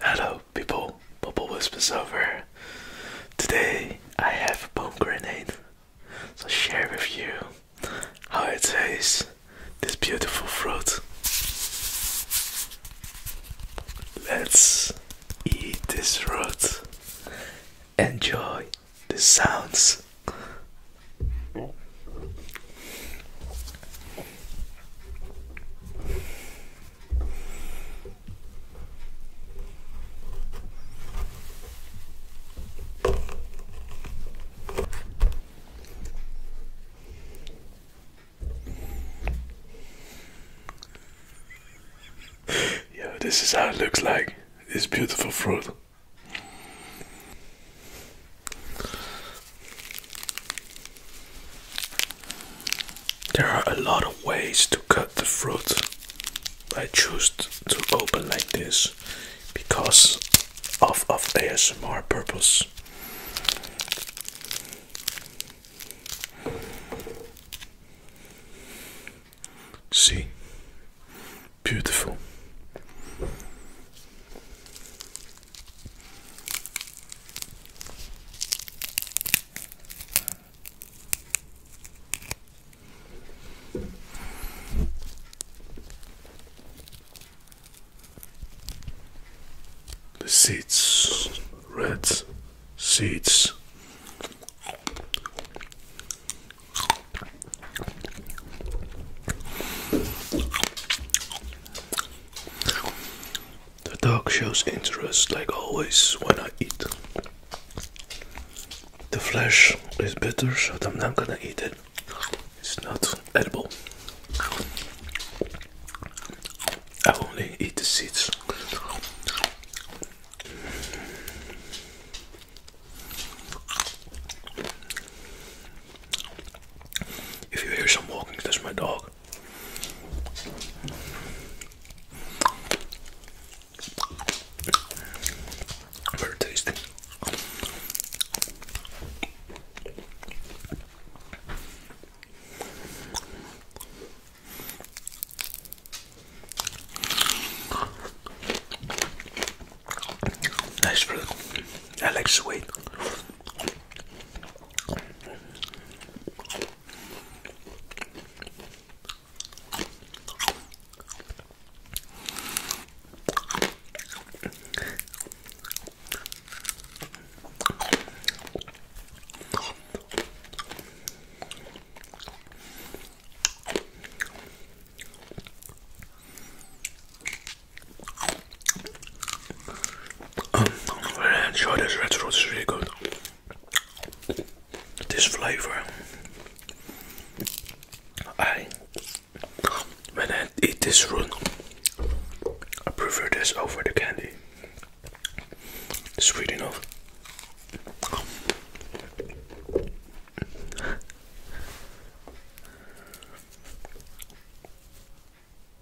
Hello people, Bubble Whispers over. Today I have a bomb grenade. So share with you how it tastes this beautiful fruit. Let's eat this fruit. Enjoy the sounds yeah, this is how it looks like. This beautiful fruit. There are a lot of ways to cut the fruit. I choose to open like this because of, of ASMR purpose. See, beautiful. The seeds, red seeds. The dog shows interest like always when I eat. The flesh is bitter, so I'm not gonna eat it. It's not edible. I only eat the seeds. If you hear some walking, that's my dog. Very tasty. Nice fruit. I like sweet. Um, I'm gonna this red fruit, it's really good this flavor. I when I eat this root, I prefer this over the candy. Sweet enough.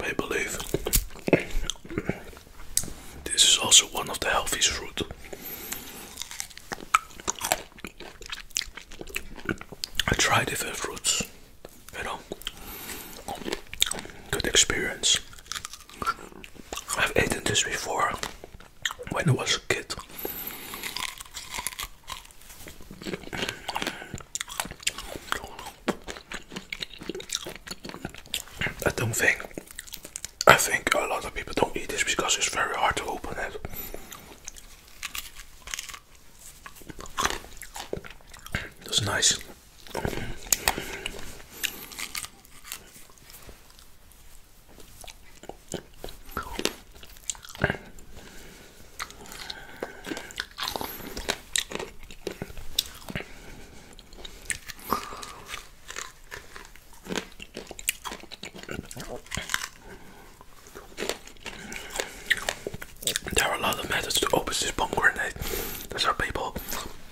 I believe this is also one of the healthiest fruits. I try different fruits, you know, good experience. I've eaten this before when I was a kid. I don't think I think a lot of people don't eat this because it's very hard to open it. That's nice. There are a lot of methods to open this pomegranate. There's are people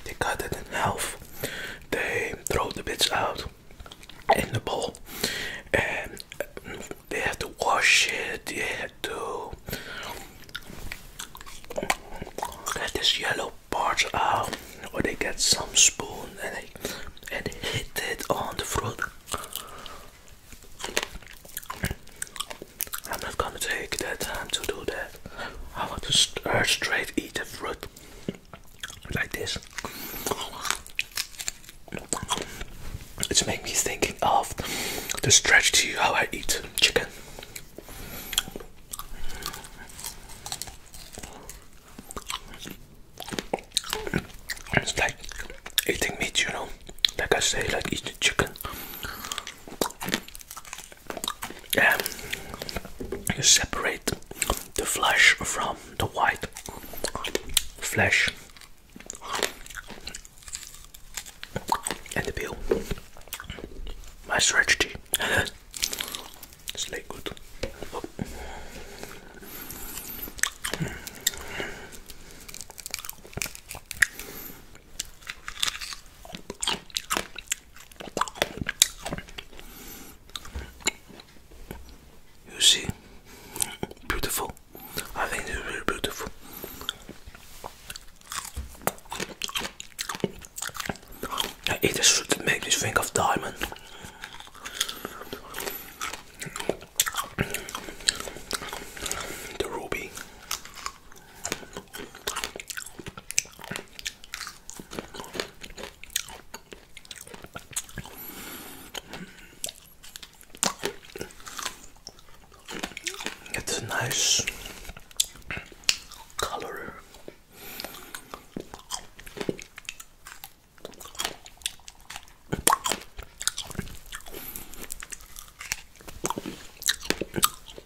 they cut it in half. They throw the bits out in the bowl, and they have to wash it. They have to get this yellow part out, or they get some spoon and and hit it on the fruit. I'm not gonna take that time to do that. I want to uh, straight eat the fruit like this. It's made me thinking of the strategy how I eat chicken. It's like eating meat, you know. Like I say, like eating chicken. And you separate the flesh from the white flesh and the peel. My strategy. it's like good. You see, beautiful. I think it's really beautiful. It should make me think of diamond. The ruby. It's a nice color.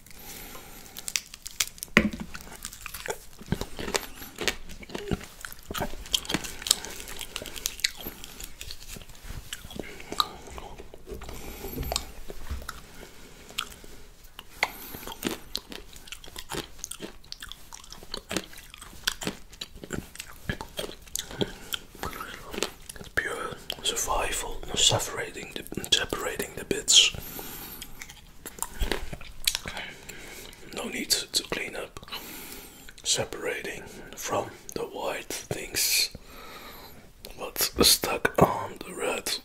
It's pure survival, separating the bits. No need to clean up, separating from the white things what's stuck on the red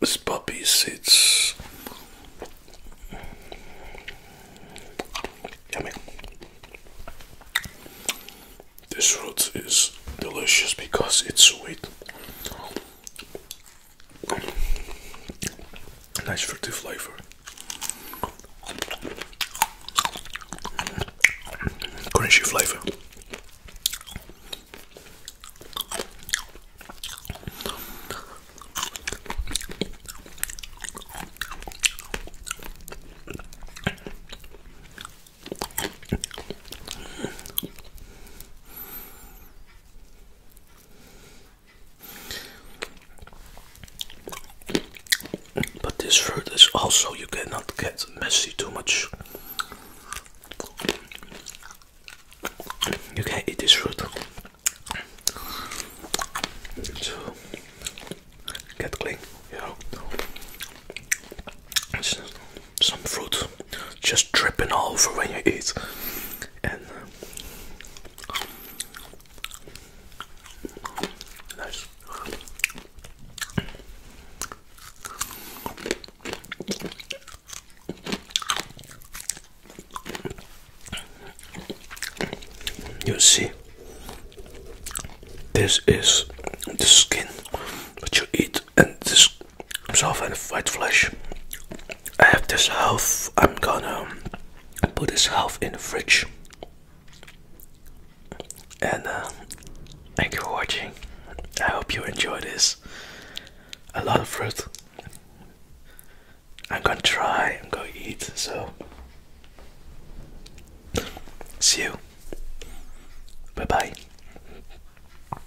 This puppy sits. This root is delicious because it's sweet. Nice fruity flavor. Crunchy flavor. But this fruit is also, you cannot get messy too much. You can eat this fruit to get clean, you some fruit just dripping all over when you eat. And uh, You see, this is the skin that you eat and this himself and white flesh. I have this half. I'm gonna put this half in the fridge. And uh, thank you for watching. I hope you enjoy this. A lot of fruit. I'm gonna try. I'm gonna eat. So see you. Bye bye.